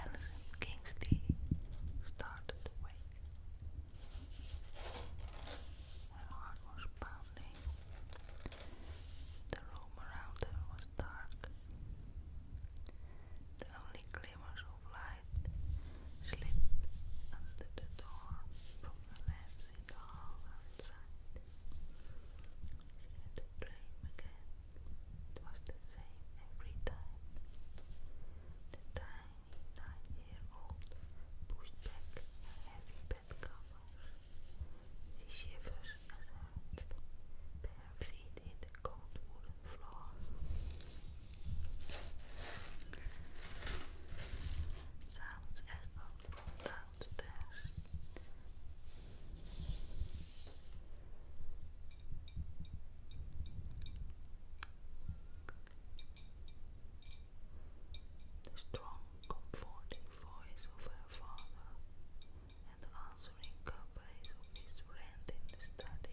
Alison Kingsley started awake. Her heart was pounding. The room around her was dark. The only glimmers of light slipped under the door from the lamps in the hallway one She had the dream again. It was the same every time. The tiny nine-year-old pushed back her heavy bed covers. She shivers as her bare feet in the cold woolen floor. Sounds as well brought touch this. The strong, comforting voice of her father and the answering companies of his friend in the study.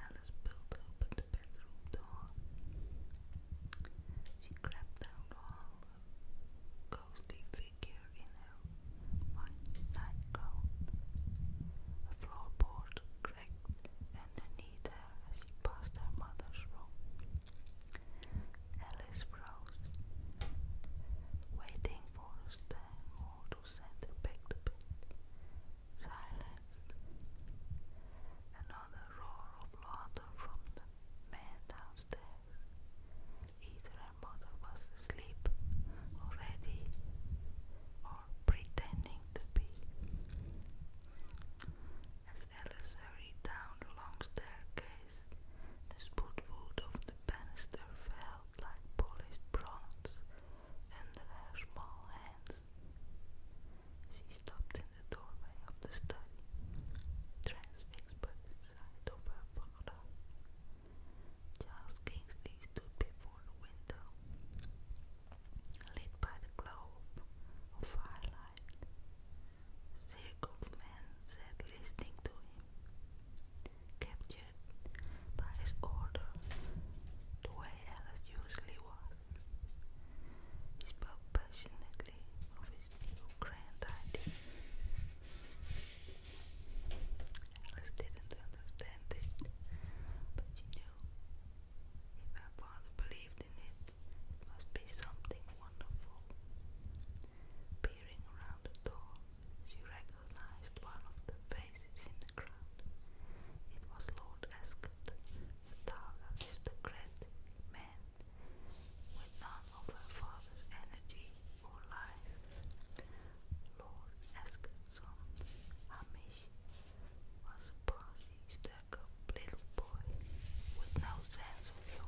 Alice pulled open the bedroom door. She crept down the hall, ghostly figure in her white nightgown. floorboard cracked underneath her as she passed her mother's room. Alice waiting for them all to send back to Silence. Another roar of laughter from the men downstairs. Either her mother was asleep already or pretending to be. As Alice hurried down the long staircase, eyes. The spotwood of the banister felt like polished bronze under her small hands. She stopped in the doorway of the study, transfixed by the sight of Charles Kingsley stood before the window, lit by the globe of firelight. A circle of sat listening to him captured by his order the way Alice usually was. He spoke passionately of his grand idea. Alice didn't understand it, but she knew if her father believed in it, it must be something wonderful. Peering around the door, she recognized one of the faces in the crowd. It was Lord Ascot, the tall aristocratic man with none of her father's energy or life. Lord Ascot's Hamish was a bossy, stuck little boy with no sense senso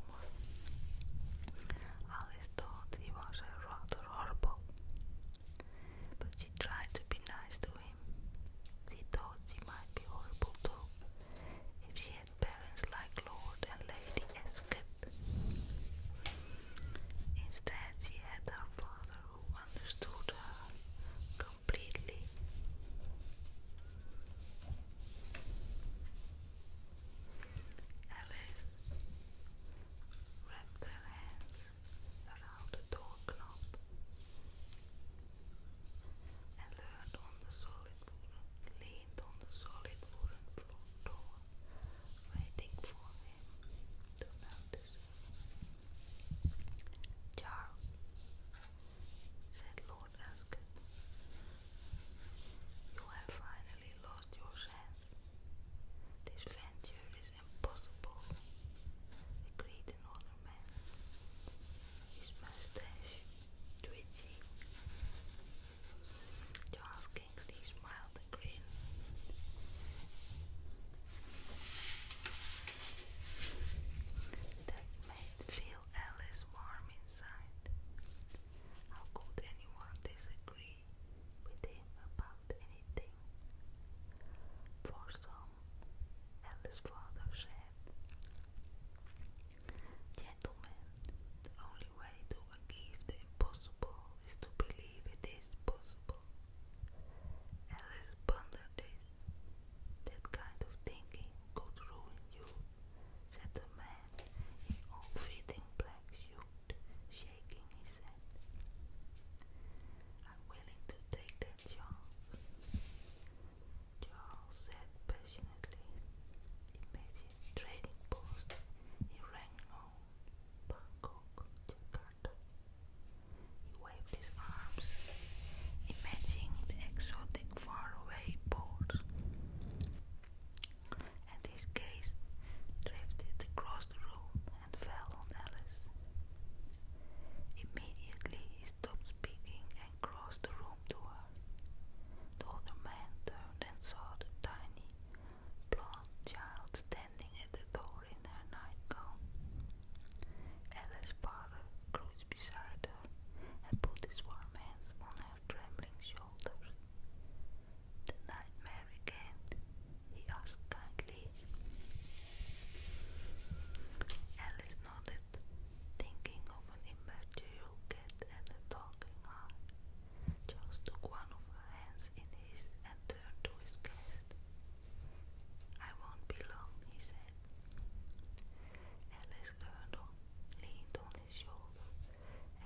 Alice thought he was rather horrible, but she tried to be nice to him. She thought she might be horrible too, if she had parents like Lord and Lady Esket. Instead, she had her father who understood her completely. Alice wrapped her hands around the door knob and leaned on the solid wooden, leaned on the solid wooden door, waiting for him to notice Charles, said Lord Ascot, you have finally lost your sense. This venture is impossible, agreed another man, his mustache twitching. Charles Kingsley smiled and That made Phil Ellis warm inside. How could anyone disagree with him about anything? For Alice's father said, Gentlemen, the only way to achieve the impossible is to believe it is possible. Alice pondered this. That kind of thinking could ruin you said the man in all-fitting black suit, shaking his head. I'm willing to take that chance. Charles said passionately. Imagine trading post in Rangoon, Bangkok, Jakarta. He waved his arms, imagining the exotic faraway ports and his gaze drifted across the room and fell on Alice. Immediately he stopped speaking and crossed the room to her. The older man turned and saw the tiny, blonde child standing at the door in her nightgown. Alice's father crouched beside her and put his warm hands on her trembling shoulders. The nightmare regained, he asked kindly. Alice nodded, thinking of an immaterial cat and a talking eye. Charles took one of her hands in his and turned to his guest. I won't be long, he said. Alice turned on, leaned on his shoulder,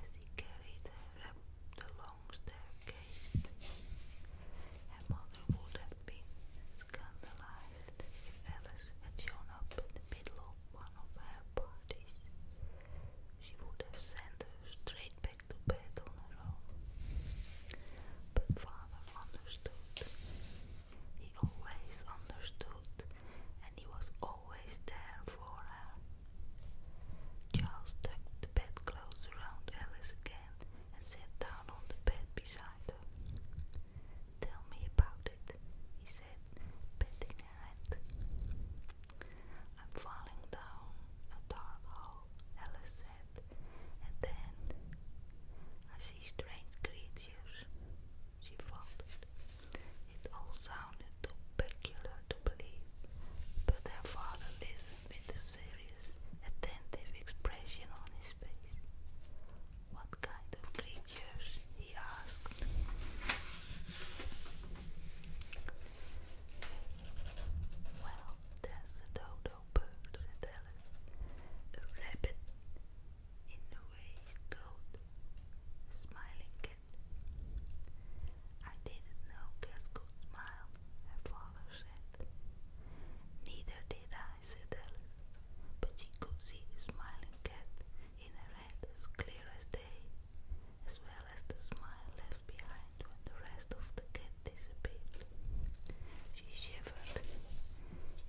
as he carried her up the long staircase. Her mother would have been scandalized if Alice had shown up in the middle of one of her parties. She would have sent her straight back to bed on her own. But father understood. He always understood, and he was always always there for her. Charles tucked the bedclothes around Alice again and sat down on the bed beside her. Tell me about it, he said, patting her hand. I'm falling down a dark hole, Alice said, and then I see strange creatures she found It all sounded too peculiar to believe, but her father listened with a serious, attentive expression on his face. What kind of creatures? he asked. Well, there's a dodo bird, said Alice. A rabbit in the waistcoat, smiling cat. I didn't know cats could smile, her father said. Neither did I, said Alice, but she could see smiling cat in her head as clear as day, as well as the smile left behind when the rest of the cat disappeared. She shivered.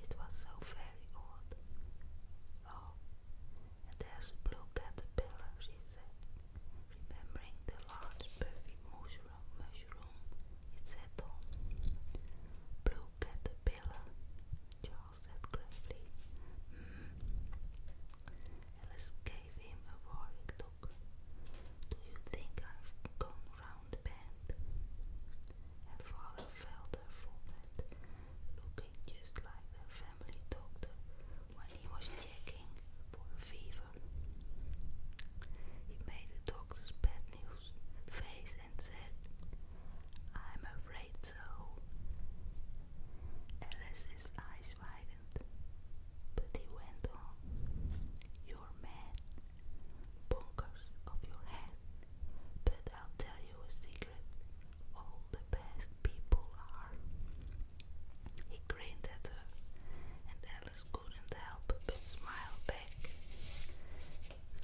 It was so very odd. Oh, there's a blue caterpillar, she said, remembering the large perfect mushroom, mushroom it sat Charles said gravely. Mm. gave him a worried look. Do you think I've gone round the bend? and father felt her forehead, looking just like the family doctor when he was checking for fever. He made the doctor's bad news face and said, I'm afraid so. Alice's eyes widened, but he went on, You're mad, bonkers of your head, but I'll tell you a secret all the best people are. He grinned at her, and Alice couldn't help but smile back.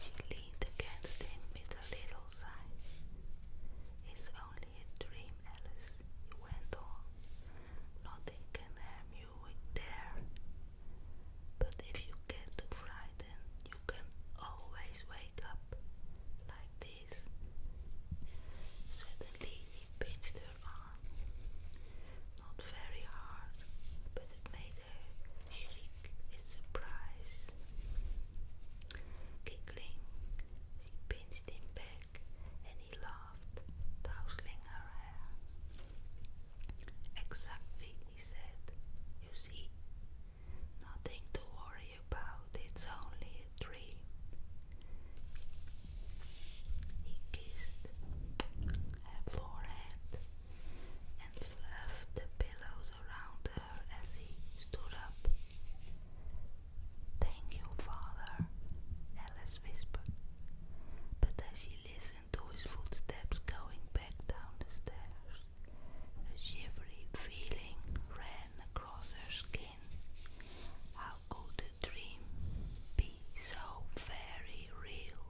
She leaned against him with a little sigh. It's only a dream, Alice, he went on. Nothing can harm you with there. But if you get too frightened, you can always wake up like this. Suddenly he pinched her arm. Not very hard, but it made her shriek with surprise. Giggling, she pinched him back and he laughed, tousling her hair. Exactly, he said. You see, Nothing to worry about, it's only a dream. He kissed her forehead and fluffed the pillows around her as he stood up. Thank you, father, Alice whispered. But as she listened to his footsteps going back down the stairs, a shivery feeling ran across her skin. How could a dream be so very real?